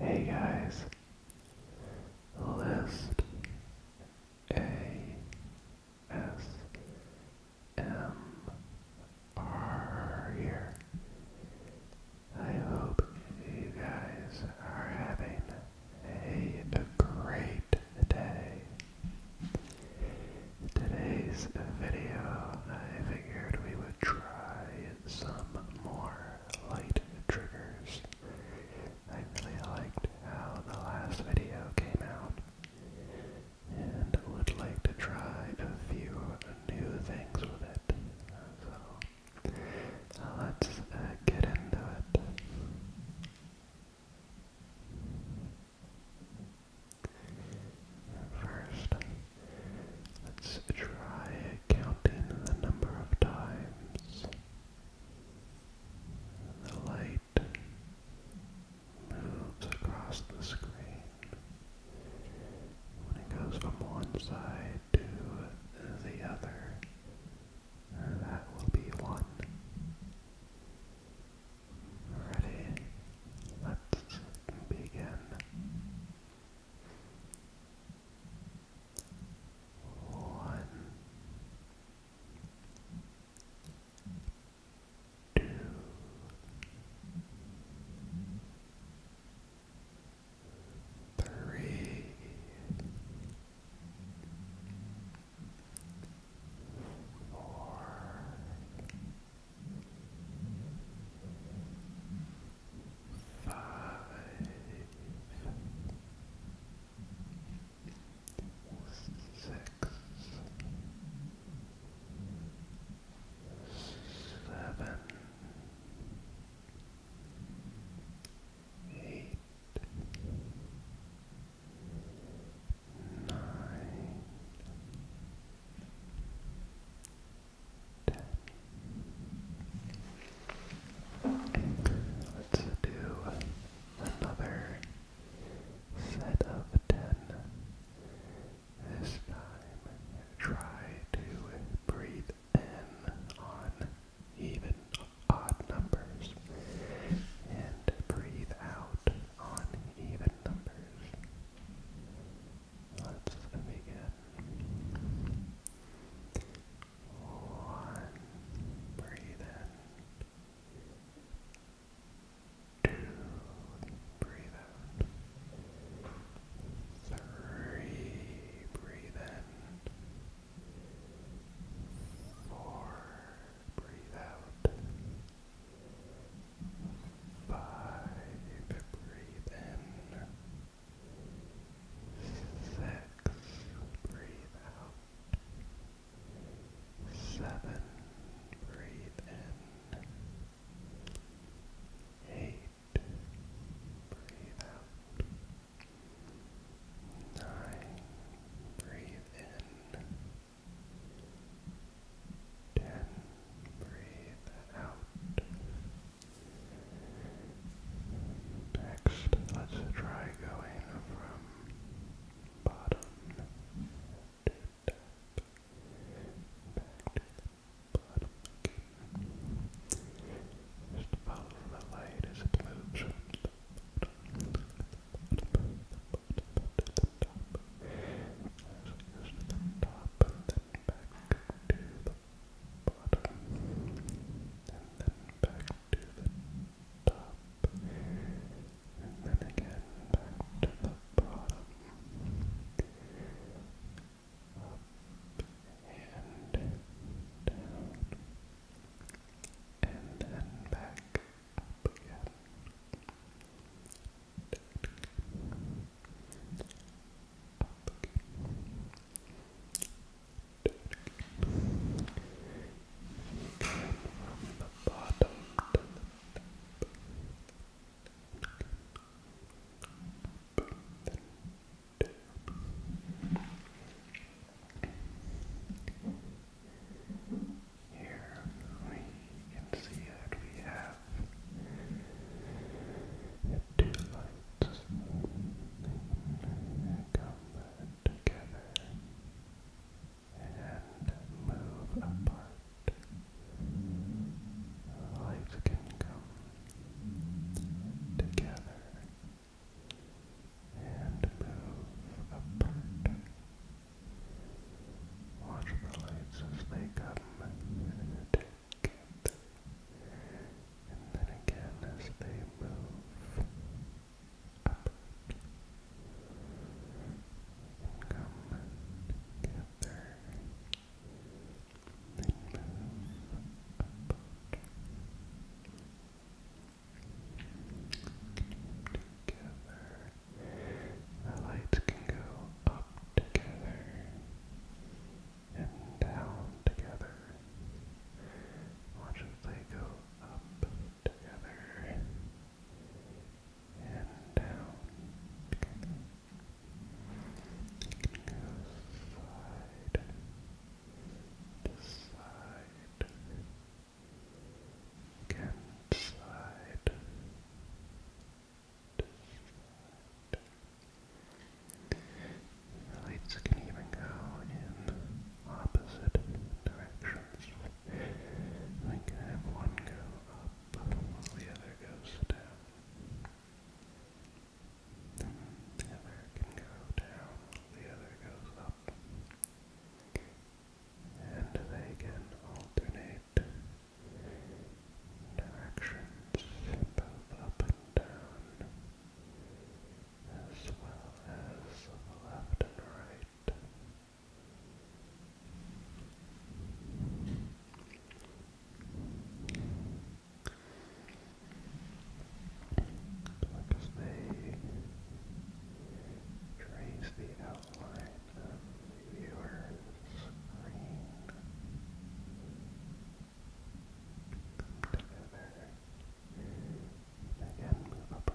Hey guys, list here. I hope you guys are having a great day. today's video, I figured we would try some more light triggers. I really liked how the last video came out and would like to try a few new things with it. So Let's uh, get into it. First, let's try counting the number of times the light moves across the screen it goes from one side to the other. That will be one. Ready? Let's begin. One, two, three, four, five, six, seven. Eight, eight, nine, ten. Let's do another set of ten. This time, try to breathe and on even odd numbers, and breathe out on even numbers. Let's begin. One, breathe in. Two, breathe Three, breathe in. Four, breathe out. Five, breathe in. Six, breathe out. Seven, breathe in. Eight, breathe out. Nine, breathe in. Ten, breathe out. Next, let's try going from bottom to top, back to bottom. Just follow the light as it moves from the bottom, to the top. As it to the top and then back to the bottom. And then back to the top. And then again back to the bottom and down, and then back up again. Up again. Again from the bottom to the top. Up, here we can see that we have two lights that come together and move apart. Life can come together and move apart. Watch the lights as they come and take and then again as they move apart. Come together further. Then The lights can go up together and down together. Watch as they go up together and down. Side to side. Again, side to side. lights can even go in opposite directions. We can have one go up while the other goes down. The other can go down while the other goes up. And they can alternate directions, both up and down, as well as left and right. Because they trace the outline of the viewer's screen together and again apart.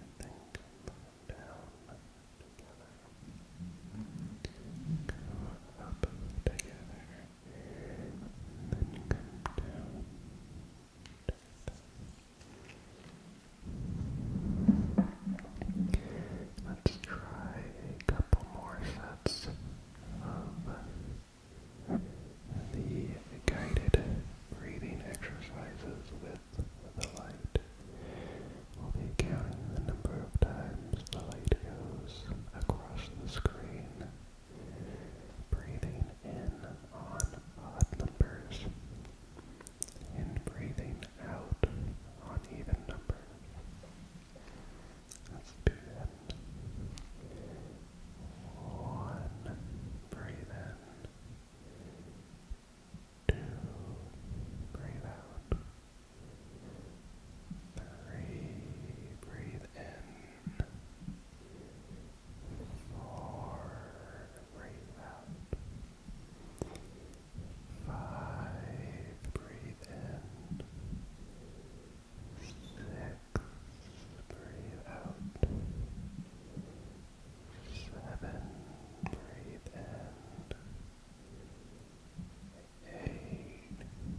and then come down together. up together, then come down Let's try a couple more sets of the guided breathing exercises with the light will be counting the number of times the light goes across the screen. Breathing in on odd numbers and breathing out on even numbers. let One, breathe breathe out. Three, breathe in. Four, breathe out. Five, breathe in. Six, breathe out. Seven, breathe in. Eight,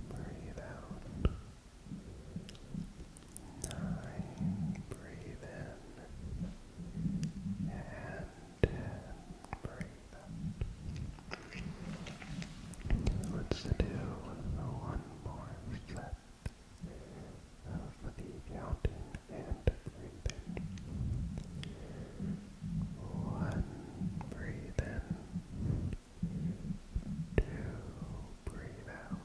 breathe out. Nine, breathe in. And ten, breathe out. Let's do one more set of the counting and breathe in. One, breathe in. Two, breathe out.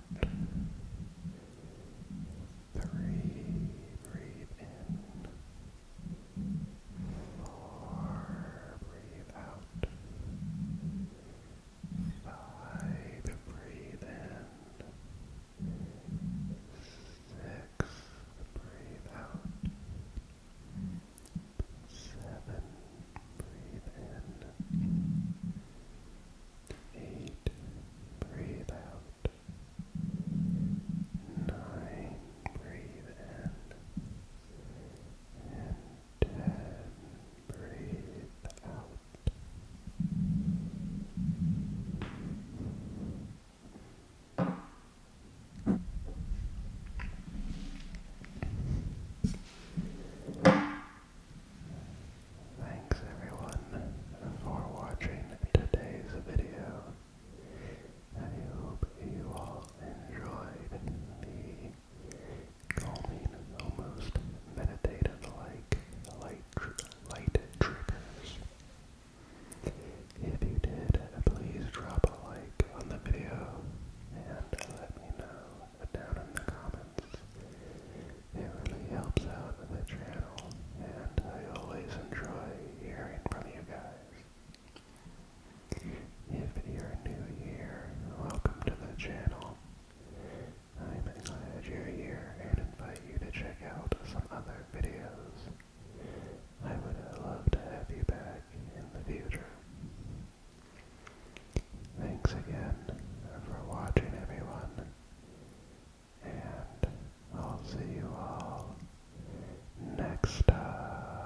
Three, breathe in. Four, breathe out. Five, breathe in. Six, breathe out. Seven, breathe in. Eight, breathe out. Nine, breathe in. ten, breathe out. Thanks everyone for watching today's video. I hope you all enjoyed the calming, almost meditative like light light, tr triggers. If you did, please drop a like on the video and let me know down in the comments. It really helps out the channel and I always enjoy hearing from you guys. If you're new here, welcome to the channel. I'm glad you're here and invite you to check out some other videos. I would love to have you back in the future. Thanks again for watching everyone, and I'll see you all next time.